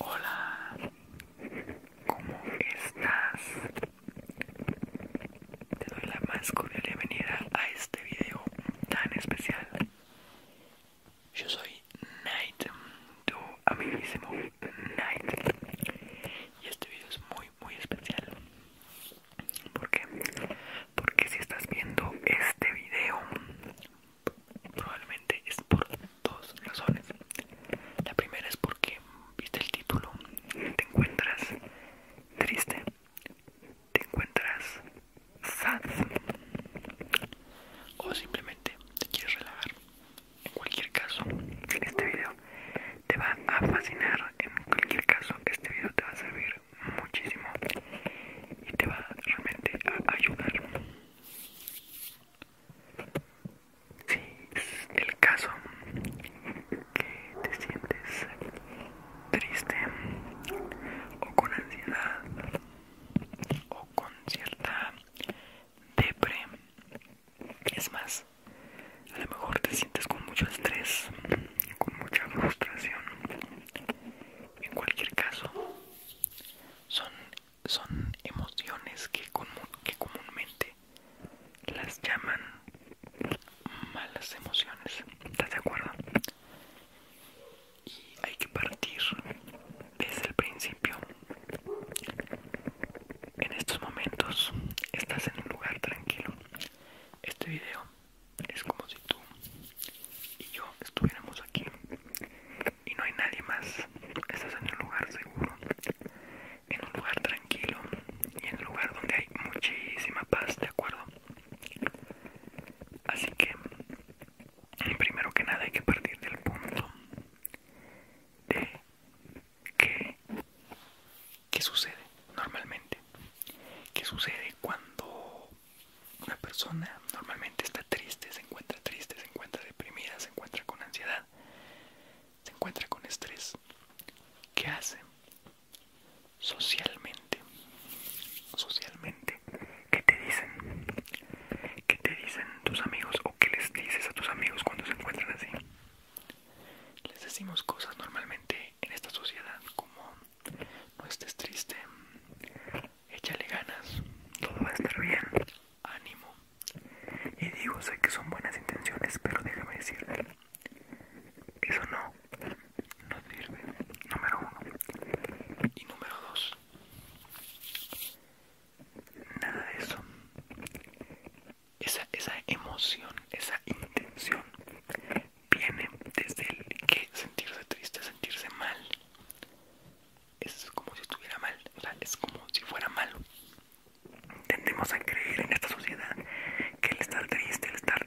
Hola, ¿cómo estás? Te doy la más cordial bienvenida a este video tan especial. Yo soy Knight, tu amiguísimo Knight Y este video es muy, muy especial. ¿Por qué? Porque si estás viendo este video Probablemente es por dos razones. La primera es porque, viste el título, te encuentras triste, te encuentras sad o simplemente te quieres relajar. En cualquier caso, este video te va a fascinar. En cualquier caso, este video te va a servir muchísimo y te va realmente a ayudar. Si es el caso que te sientes triste o con ansiedad o con cierta depresión, es más, a lo mejor te sientes con mucho estrés, con mucha frustración. En cualquier caso, son son emociones que, que comúnmente las llaman malas emociones. ¿Estás de acuerdo? Y hay que partir desde el principio. En estos momentos estás en un lugar tranquilo. Este video es como si tú y yo estuviéramos aquí y no hay nadie más. Estás en un lugar seguro, en un lugar tranquilo y en un lugar donde hay muchísima paz, ¿de acuerdo? Así que, primero que nada hay que partir del punto de que, ¿qué sucede normalmente? ¿Qué sucede cuando una persona normalmente está triste, se encuentra triste, se encuentra deprimida, se encuentra con ansiedad, se encuentra con estrés. ¿Qué hace? Socialmente. Socialmente. ¿Qué te dicen? ¿Qué te dicen tus amigos o qué les dices a tus amigos cuando se encuentran así? Les decimos cosas normalmente en esta sociedad como no estés triste, échale ganas, todo va a estar bien, ánimo. Y digo, sé que son buenas intenciones, pero déjame decirte, eso no, no sirve, número uno. Y número dos, nada de eso. Esa, esa emoción, esa intención viene desde el que sentirse triste, sentirse mal es como si estuviera mal, es como si fuera malo. Tendemos a creer en esta sociedad que el estar triste, el estar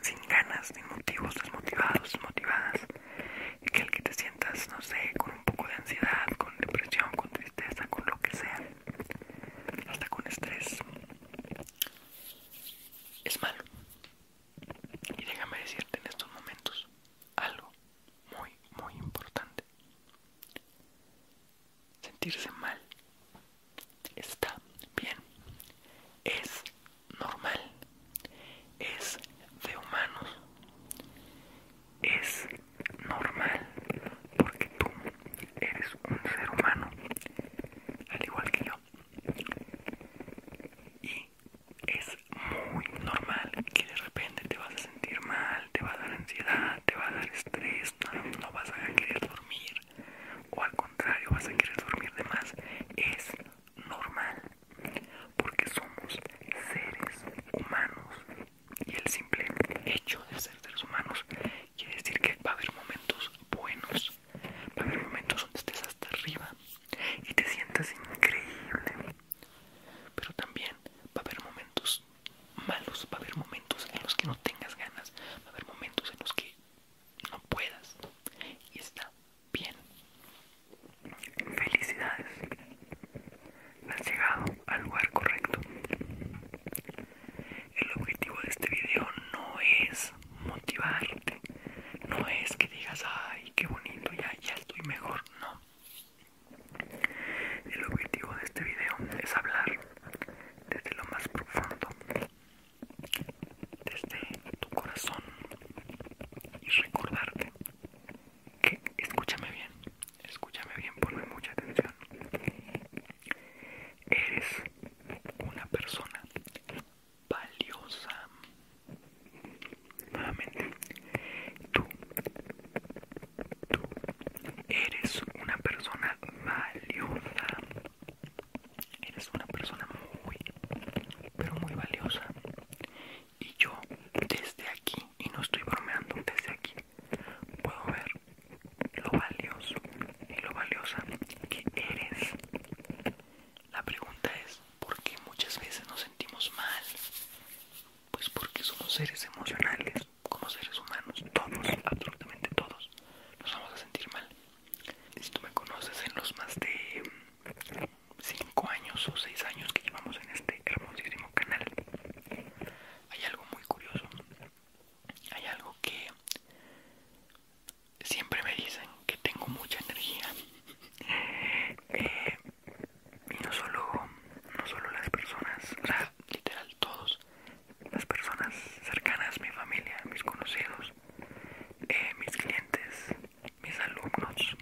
sin ganas, sin motivos, desmotivados, desmotivadas, que el que te sientas, no sé, con un poco de ansiedad, con depresión, con tristeza, con lo que sea, hasta con estrés, es malo. Y déjame decirte en estos momentos algo muy, muy importante. Sentirse mal está bien, es normal, es de humanos, es normal porque tú eres un ser humano, al igual que yo. Y es muy normal que de repente te vas a sentir mal, te va a dar ansiedad, te va a dar estrés, no, vas a querer dormir o al contrario vas a querer dormir de más. Es normal porque somos seres humanos y el simple hecho de ser seres humanos quiere decir que va a haber momentos buenos, va a haber momentos donde estés hasta arriba y te sientas increíble. Pero también va a haber momentos malos, va a haber momentos en los que no tengas ganas, va a haber momentos en los que no puedas. Y está bien. Felicidades. Has llegado al lugar correcto. El objetivo de este video no es motivarte. No es que digas, ay, qué bonito, ya, ya estoy mejor, no. El objetivo de este video es hablar desde lo más profundo, desde tu corazón y recordarte que, escúchame bien, escúchame bien, ponme mucha atención. Eres una persona valiosa. Nuevamente, tú, tú eres una persona valiosa. Eres una persona muy, pero muy valiosa. Y yo, desde aquí, y no estoy bromeando, desde aquí, puedo ver lo valioso y lo valiosa que eres. La pregunta es, porque muchas veces nos sentimos mal pues porque somos seres emocionales como seres humanos todos absolutamente todos nos vamos a sentir mal si tú me conoces en los más de 5 años o 6 años que llevamos en este hermosísimo canal hay algo muy curioso hay algo que siempre me dicen que tengo mucha energía eh, y no solo no solo las personas literal todos las personas cercanas mi familia mis conocidos eh, mis clientes mis alumnos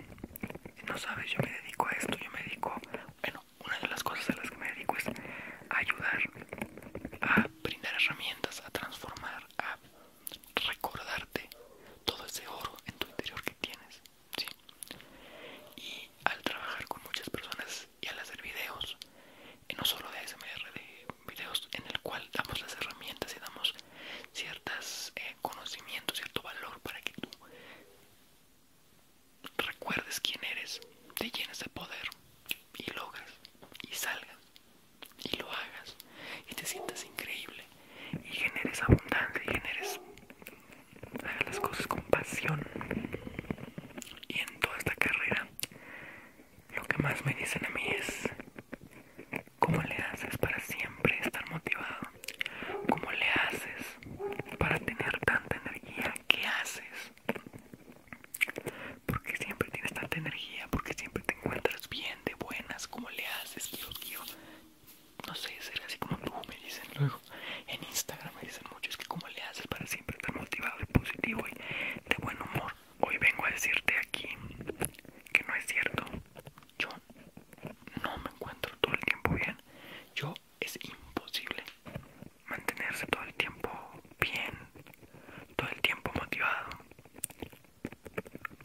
no sabes yo me dedico a esto yo me dedico bueno una de las cosas a las que me dedico es a ayudar a brindar herramientas a transformar a recordarte todo ese oro en tu interior que tienes, Y al trabajar con muchas personas y al hacer videos, y no solo de ASMR, de videos en el cual damos las herramientas y damos ciertas eh, conocimientos, cierto valor para que tú recuerdes quién eres, te llenes de poder y logras y salgas y lo hagas y te sientas increíble y generes abundancia y generes las cosas con pasión y en toda esta carrera lo que más me dicen a mí es cómo le haces para siempre estar motivado Como le haces para tener tanta energía qué haces porque siempre tienes tanta energía porque siempre te encuentras bien de buenas, como le haces, no sé, ser así como tú, me dicen luego, en Instagram me dicen mucho, es que como le haces para siempre estar motivado y positivo y de buen humor. Hoy vengo a decirte aquí que no es cierto, yo no me encuentro todo el tiempo bien, yo es imposible mantenerse todo el tiempo bien, todo el tiempo motivado,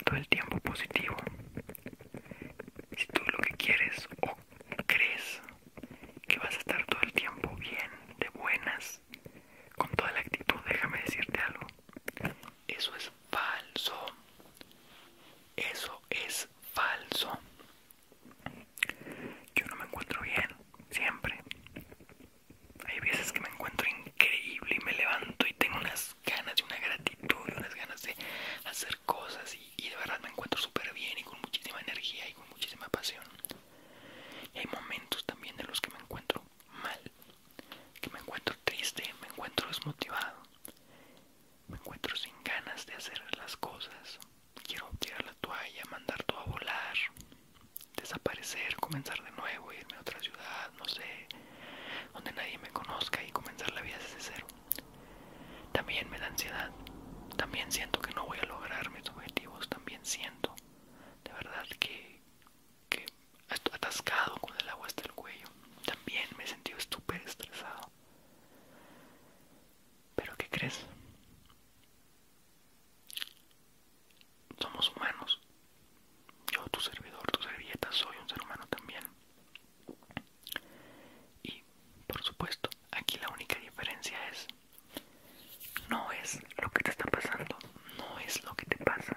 todo el tiempo positivo. Si tú lo que quieres o crees que vas a estar todo el tiempo bien, de buenas, con toda la actitud, déjame decirte algo. Eso es falso. Eso es falso. Yo no me encuentro bien, siempre. Hay veces que me encuentro increíble y me levanto y tengo unas ganas de una gratitud y unas ganas de hacer cosas y, de verdad me encuentro súper bien y con muchísima energía y con muchísima pasión hay momentos también en los que me encuentro mal que me encuentro triste me encuentro desmotivado me encuentro sin ganas de hacer las cosas quiero tirar la toalla mandar todo a volar desaparecer comenzar de nuevo irme a otra ciudad no sé, donde nadie me conozca y comenzar la vida desde cero. También me da ansiedad, también siento que no voy a lograr mis objetivos, también siento de verdad que, que estoy atascado con el agua hasta el cuello, también me he sentido súper estresado. Pero ¿qué crees? Somos humanos yo, tu servidor, tu servilleta, soy un ser humano también. Y, por supuesto, aquí la única diferencia es, no es lo que te está pasando, no es lo que te pasa.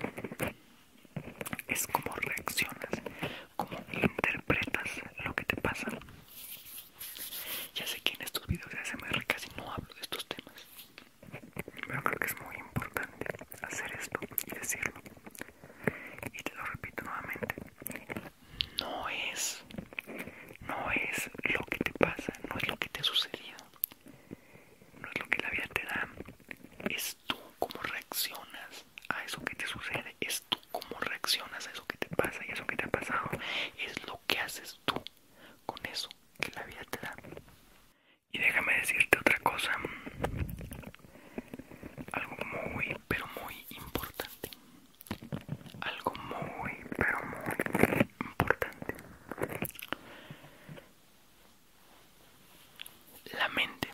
Es como reaccionas, como interpretas lo que te pasa. Ya sé que en estos videos de ACMR casi no hablo de estos temas. Pero creo que es muy importante hacer esto y decirlo. Y te lo repito nuevamente. No es, no es lo que te pasa, no es lo que te ha sucedido, no es lo que la vida te da, es tú cómo reaccionas a eso que te sucede, es tú cómo reaccionas a eso que te pasa y eso que te ha pasado, es lo que haces tú con eso que la vida te da. Y déjame decirte otra cosa, algo muy, pero muy importante. Algo muy, pero muy importante. La mente,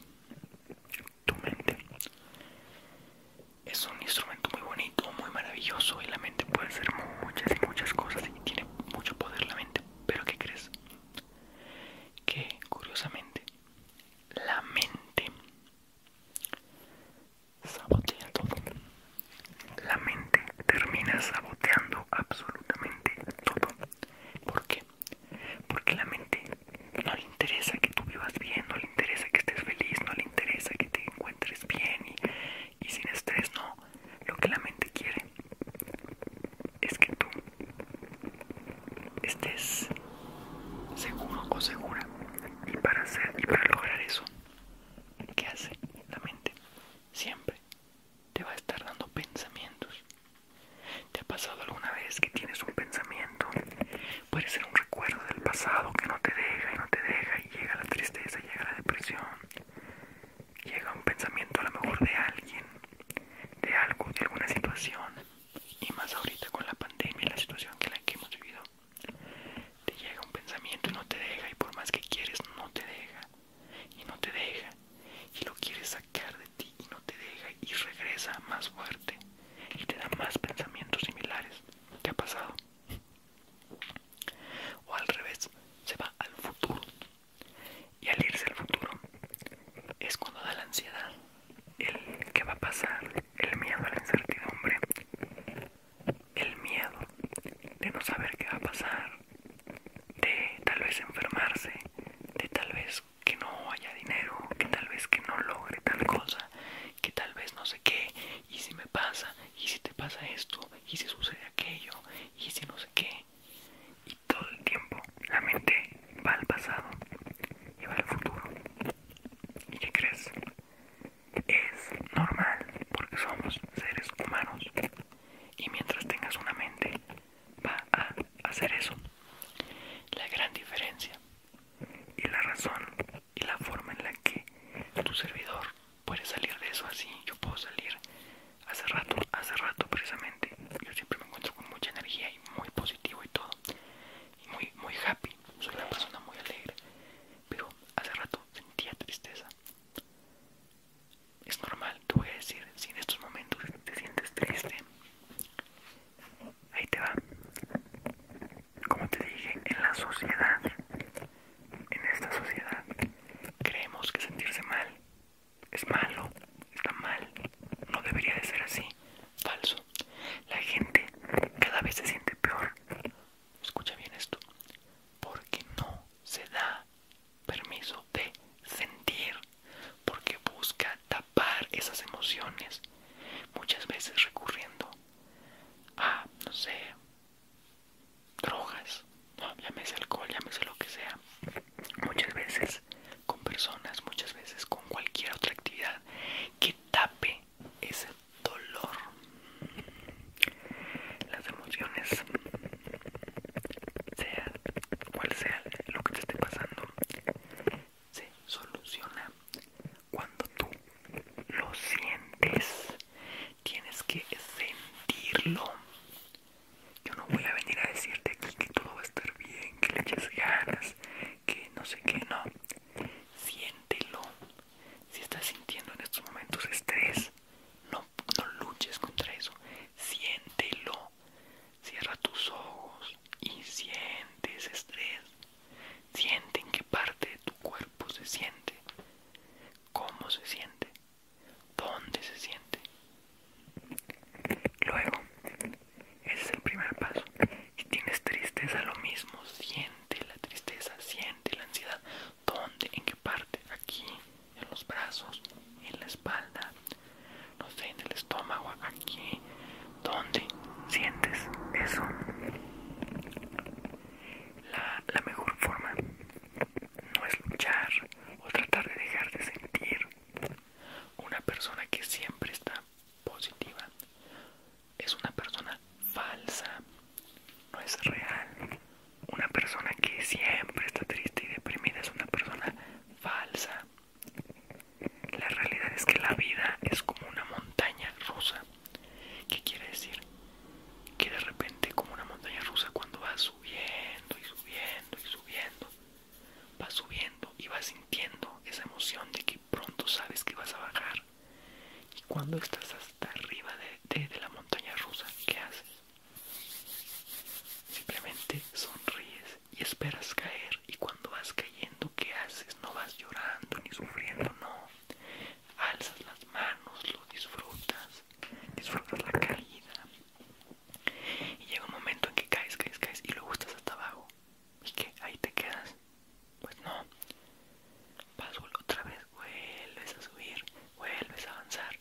tu mente, es un instrumento muy bonito, muy maravilloso y la mente puede hacer muchas y muchas cosas y tiene mucho poder la mente. Pero ¿qué crees? que curiosamente la mente sabotea todo. La mente termina saboteando absolutamente todo. ¿Por qué? Porque la mente no le interesa que tú vivas bien, no le interesa que estés feliz, no le interesa que te encuentres bien y, y sin estrés, no. Lo que la mente quiere es que tú estés seguro o segura y para hacer y para lograr eso ¿Qué hace la mente siempre te va a estar dando pensamientos te ha pasado alguna vez que tienes un pensamiento puede ser un recuerdo del pasado que no te deja y no te deja y llega la tristeza llega la depresión llega un pensamiento a lo mejor de alguien, de algo, de alguna situación, y más ahorita con la pandemia y la situación que la que hemos vivido, te llega un pensamiento y no te deja, y por más que quieres, no te deja, y no te deja, y lo quieres sacar de ti y no te deja, y regresa más fuerte, y te da más pensamientos similares. ¿Te ha pasado? O al revés, se va al futuro y al irse al futuro es cuando da la ansiedad, el que va a pasar, el miedo a la incertidumbre, el miedo de no saber qué va a pasar, de tal vez enfermarse, de tal vez que no haya dinero, que tal vez que no logre tal cosa, que tal vez no sé qué, y si me pasa, y si te pasa esto, y si sucede aquello, y si no sé qué, y todo el tiempo la mente va al pasado y va al futuro. ¿Y qué crees? Es normal porque somos seres humanos y mientras tengas una mente va a hacer eso. La gran diferencia y la razón y la forma en la que tu servidor puede salir de eso así, yo puedo salir hace rato, hace rato precisamente, yo siempre me encuentro con mucha energía y muy positivo y todo, y muy, muy happy, soy una persona muy alegre, pero hace rato sentía tristeza. Es normal, te voy a decir, si en estos momentos te sientes triste, ahí te va. Como te dije, en la sociedad, en esta sociedad, creemos que sentirse mal es malo, está mal, no debería de ser así, falso. La gente cada vez se siente peor. Escucha bien esto, porque no se da permiso de sentir, porque busca tapar esas emociones, muchas veces recurriendo a, no sé, drogas, llámese alcohol, llámese lo que sea, muchas veces con personas, muchas veces con cualquier otra actividad que tape ese dolor. Las emociones, sea cual sea lo que te esté pasando, se soluciona cuando tú lo sientes. Tienes que sentirlo. Yo no voy a venir a decirte aquí que todo va a estar bien, que le eches ganas, que no sé qué, no. Siéntelo. Si estás sintiendo en estos momentos estrés, no, no luches contra eso. Siéntelo. Cierra tus ojos y siente ese estrés. Siente en qué parte de tu cuerpo se siente. ¿Cómo se siente? donde se siente. Luego, ese es el primer paso. Si tienes tristeza, lo mismo, siente la tristeza, siente la ansiedad. ¿Dónde? ¿En qué parte? Aquí, en los brazos, en la espalda, no sé, en el estómago, aquí. ¿Dónde sientes eso? la mejor forma no es luchar o tratar de dejar de sentir. Una persona que siempre está positiva es una persona falsa, no es real. Una persona que siempre está triste y deprimida es una persona falsa. La realidad es que la vida es como una montaña rusa. ¿Qué quiere decir? que de repente como una montaña rusa cuando vas subiendo y subiendo y subiendo vas subiendo y vas sintiendo esa emoción de que pronto sabes que vas a bajar y cuando estás hasta arriba de, de la montaña rusa ¿qué haces? simplemente sonríes y esperas caer y cuando vas cayendo ¿qué haces? no vas llorando ni sufriendo no alzas las manos lo disfrutas disfrutas la caída y llega un momento en que caes, caes, caes y lo gustas hasta abajo. ¿Y que ¿Ahí te quedas? Pues no. Vas otra vez, vuelves a subir, vuelves a avanzar.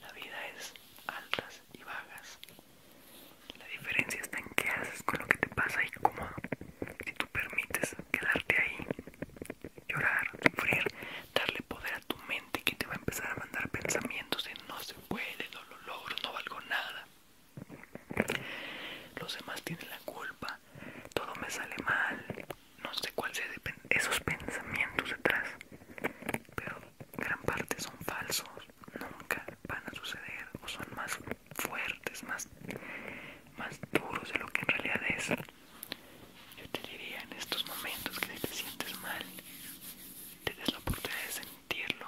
La vida es altas y vagas La diferencia está en qué haces con lo que te pasa y cómo. Si tú permites quedarte ahí, llorar, sufrir, darle poder a tu mente que te va a empezar a mandar pensamientos de no se puede, no lo logro, no valgo nada. Los demás tienen la culpa, todo me sale mal, no sé cuál sea esos pensamientos detrás, pero gran parte son falsos, nunca van a suceder o son más fuertes, más, más duros de lo que en realidad es. Yo te diría en estos momentos que si te sientes mal, te des la oportunidad de sentirlo.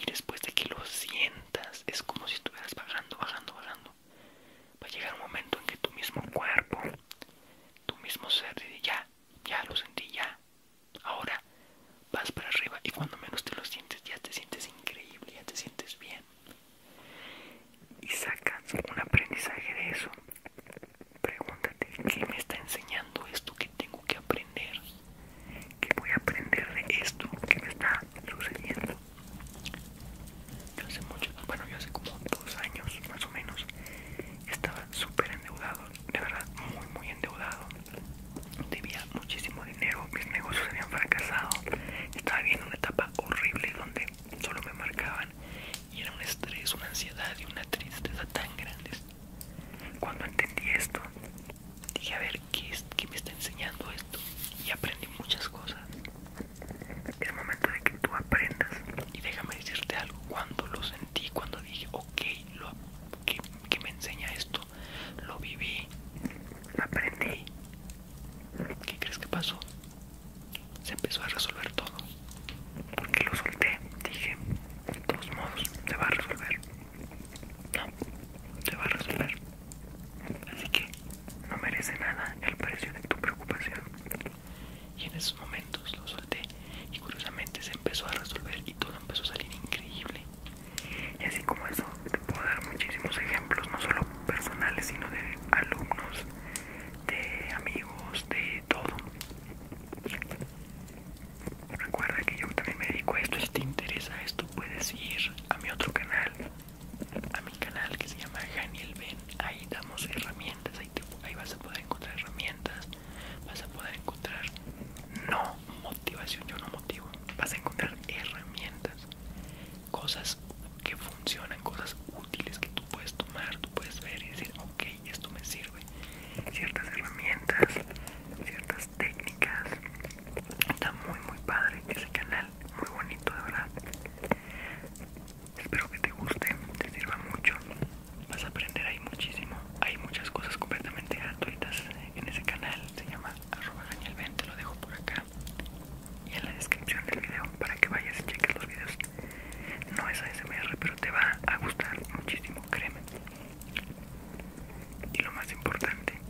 Y después de que lo sientas, es como si estuvieras bajando, bajando, bajando. Va a llegar un momento en que tu mismo cuerpo, tu mismo ser, diría ya, ya lo sentí, ya. Ahora vas para arriba y cuando menos te lo sientes, ya te sientes increíble, ya te sientes bien. Y sacas un aprendizaje de eso. Pregúntate, ¿qué me está enseñando esto que tengo que aprender? ¿Qué voy a aprender de esto que me está sucediendo? Yo hace mucho, bueno, yo hace como dos años más o menos estaba súper endeudado, de verdad, muy, muy endeudado. Debía muchísimo dinero, mis negocios habían fracasado. Estaba viviendo una etapa horrible donde solo me marcaban y era un estrés, una ansiedad y una tristeza tan grandes. Cuando entendí esto, dije, a ver, ¿qué, es, qué me está enseñando esto? Y aprendí muchas cosas. Es momento de que tú aprendas. Y déjame decirte algo, cuando lo sentí, cuando dije, ok, ¿qué, me enseña esto? Lo viví, aprendí. ¿Qué crees que pasó? se empezó a resolver todo. Porque lo solté, dije, de todos modos, se va a resolver. No, se va a resolver. Así que no merece nada el precio de tu preocupación. Y en esos momentos lo solté y curiosamente se empezó a resolver y todo empezó a salir increíble. Y así como eso, te puedo dar muchísimos ejemplos, no solo personales, sino de alumnos de amigos, de todo. Recuerda que yo también me dedico a esto. Si te interesa esto, puedes ir a mi otro canal, a mi canal que se llama Haniel Ben. Ahí damos herramientas, ahí, vas a poder encontrar herramientas, vas a poder encontrar no motivación, yo no motivo, vas a encontrar herramientas, cosas que funcionan, cosas útiles que tú puedes tomar, tú puedes ver y decir, ok, esto me sirve. Ciertas este, herramientas, ciertas técnicas. Está muy, muy padre ese canal, muy bonito de verdad. Espero que te guste, te sirva mucho. Vas a aprender ahí muchísimo. Hay muchas cosas completamente gratuitas en ese canal. Se llama arroba 20 lo dejo por acá y en la descripción del video para que vayas y cheques los videos. No es ASMR, pero te va a gustar muchísimo, créeme. Y lo más importante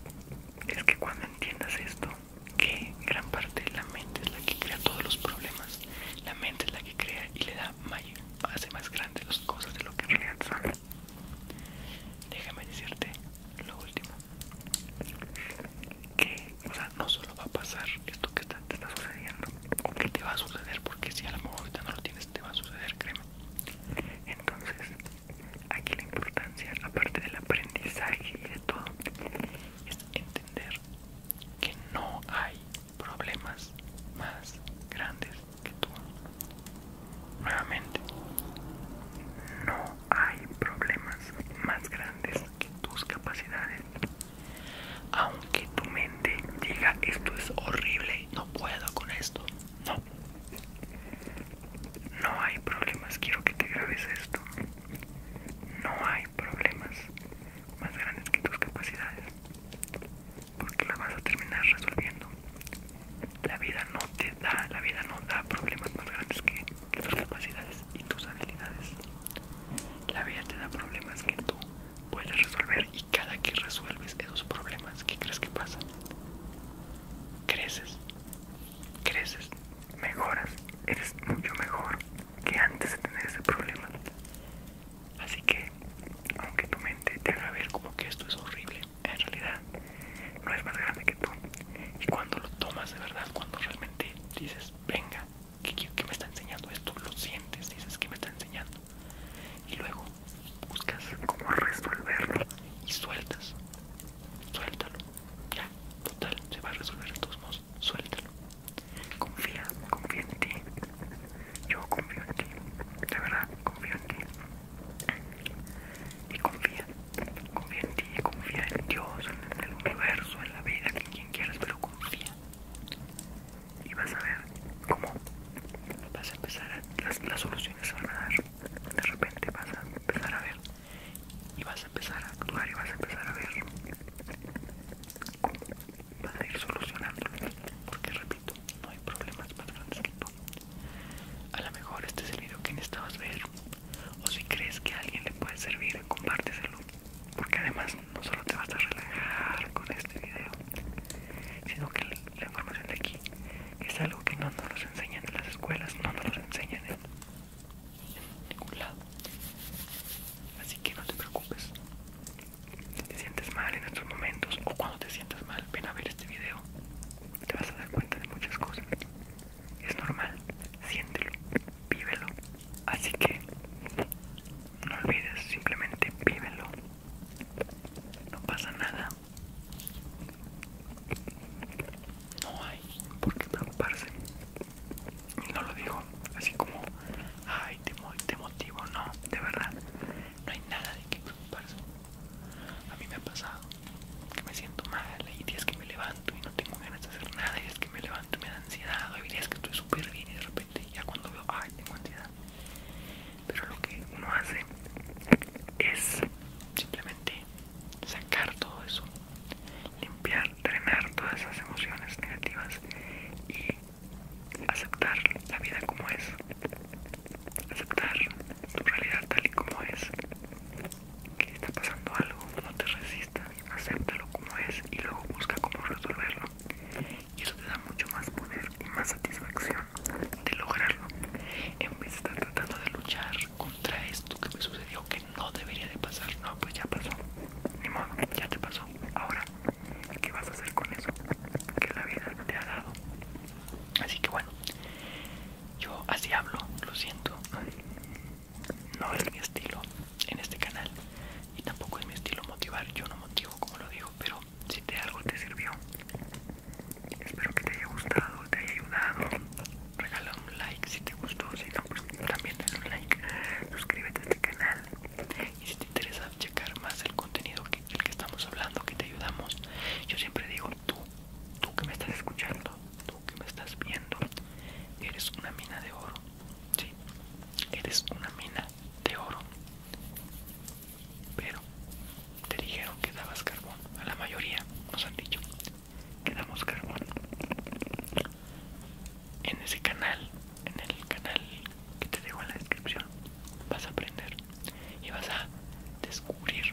es que cuando entiendas esto, que gran parte de la mente es la que crea todos los problemas, la mente es la que crea y le da mayor, hace más grandes las cosas de lo que en realidad son. Déjame decirte lo último, que o sea, no solo va a pasar esto que te está sucediendo, o que te va a suceder, porque si a lo mejor ahorita no lo tienes, te va a suceder, créeme. Entonces, aquí la importancia, aparte del aprendizaje y de todo, es entender que no hay problemas más grandes que tú. Nuevamente, no hay problemas más grandes que tus capacidades. Aunque tu mente diga esto es horrible, no puedo con esto. No. No hay problemas, quiero que te grabes esto. No hay problemas más grandes que tus capacidades. Porque lo vas a terminar resolviendo. La vida no te da, la vida no da problemas más grandes que tus capacidades y tus habilidades. La vida te da problemas que tú puedes resolver y cada que resuelves esos problemas, ¿qué crees que pasa? Creces, creces, mejoras, eres mucho mejor que antes de tener ese problema. Así que, aunque tu mente te haga ver como que esto es horrible, en realidad no es más grande que tú. Y cuando lo tomas de verdad, cuando realmente dices, venga, ¿Qué, me está enseñando esto? Lo sientes, dices que me está enseñando. Y luego buscas cómo resolverlo y sueltas. Suéltalo. Ya, total, se va a resolver de todos modos. Suéltalo. Confía, confía en ti. Yo confío en ti. De verdad, confío en ti. Y confía, confía en ti, confía en Dios, en el universo, en la vida que Quieres, quieras, pero confía. Y vas a ver cómo vas a empezar a. Las, soluciones se van a dar. De repente vas a empezar a ver. Y vas a empezar a actuar y vas a empezar a ver cómo vas a ir solucionando Porque repito, no hay problemas más grandes que tú. A lo mejor este es el video que necesitas ver. O si crees que a alguien le puede servir, compárteselo porque además no solo te vas a relajar con este video sino que la, información de aquí es algo que no nos enseñan en las escuelas no nos enseñan en, ningún lado así que no te preocupes si te sientes mal en estos momentos o cuando te sientas mal ven a ver este video te vas a dar cuenta de muchas cosas es normal siéntelo vívelo Así que no olvides, simplemente vívelo. No pasa nada. No hay por qué preocuparse. Y no lo digo así como, ay, te, motivo. No, de verdad, no hay nada de qué preocuparse. A mí me ha pasado que me siento mal y tienes que me levanto y no tengo ganas de hacer nada y es que me levanto y me da ansiedad o día es que estoy súper bien y de repente ya cuando veo ay tengo ansiedad pero lo que uno hace es simplemente sacar todo eso limpiar drenar todas esas emociones negativas y aceptar la vida como es aceptar tu realidad tal y como es que está pasando algo no te resistes acepta acéptalo como es y luego busca cómo resolverlo. Y eso te da mucho más poder y más satisfacción de lograrlo. En vez de estar tratando de luchar contra esto que me sucedió que no debería de pasar. No, pues ya pasó. Ni modo, ya te pasó. Ahora, ¿qué vas a hacer con eso que la vida te ha dado? Así que bueno, yo así hablo, lo siento no es mi estilo en este canal y tampoco es mi estilo motivar, yo no motivo como lo digo, pero si te algo te sirvió, espero que te haya gustado, te haya ayudado, regala un like si te gustó, si no pues también un like, suscríbete a este canal y si te interesa checar más el contenido del que estamos hablando, que te ayudamos, yo siempre digo tú, tú que me estás escuchando, que me estás viendo eres una mina de oro eres una mina de oro pero te dijeron que dabas carbón a la mayoría nos han dicho que damos carbón en ese canal en el canal que te dejo en la descripción vas a aprender y vas a descubrir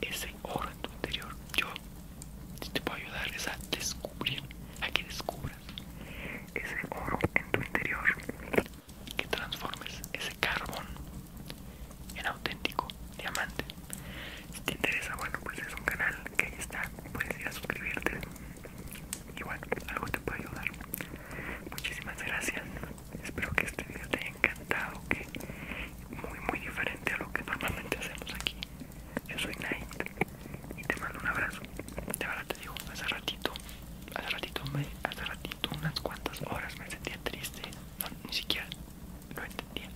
ese oro en tu interior. Yo te puedo ayudar a descubrir, a que descubras ese oro en tu interior. Que transformes ese carbón en auténtico diamante. Si te interesa, bueno, pues es un canal que ahí está. Puedes ir a suscribirte. Y algo te puede ayudar. Muchísimas gracias. Espero que este video te haya encantado, que muy muy diferente a lo que normalmente hacemos aquí. Yo soy Night y te mando un abrazo. De verdad te digo, hace ratito, ratito, hace ratito, unas cuantas horas me sentía triste, no, ni siquiera lo entendía.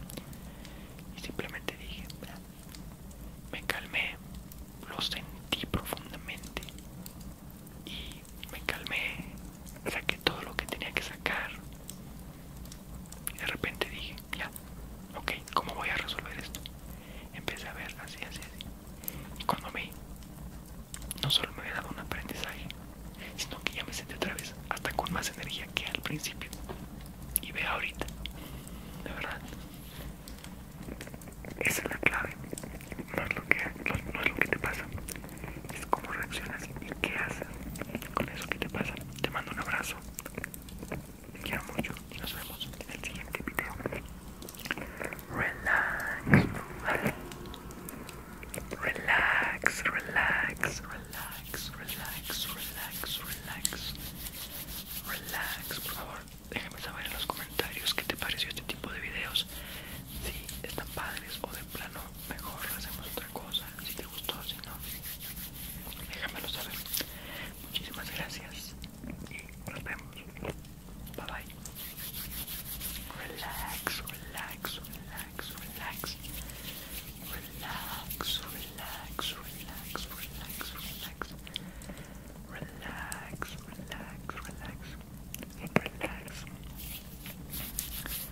Y simplemente dije, me calmé, lo sentí profundamente y me calmé, saqué todo lo que tenía que sacar y de repente dije, ya, ok, ¿cómo voy a resolver esto? Empecé a ver así, así, así. Y cuando me no solo me había dado un aprendizaje, sino que ya me senté otra vez, hasta con más energía que al principio. Y ve ahorita, de verdad. Esa es la clave. No es lo que, no, es lo que te pasa, es cómo reaccionas y qué haces con eso que te pasa. Te mando un abrazo. Te quiero mucho y nos vemos en el siguiente video. Relax, Relax, relax, relax, relax, relax, relax. Relax, por favor. Déjame saber en los comentarios qué te pareció este tipo de videos. Si están padres o de plano mejor hacemos otra cosa. Si te gustó, si no déjamelo saber. Muchísimas gracias y nos vemos. Bye bye. Relax, relax, relax, relax. Relax, relax, relax, relax, relax. Relax, relax, relax. Relax.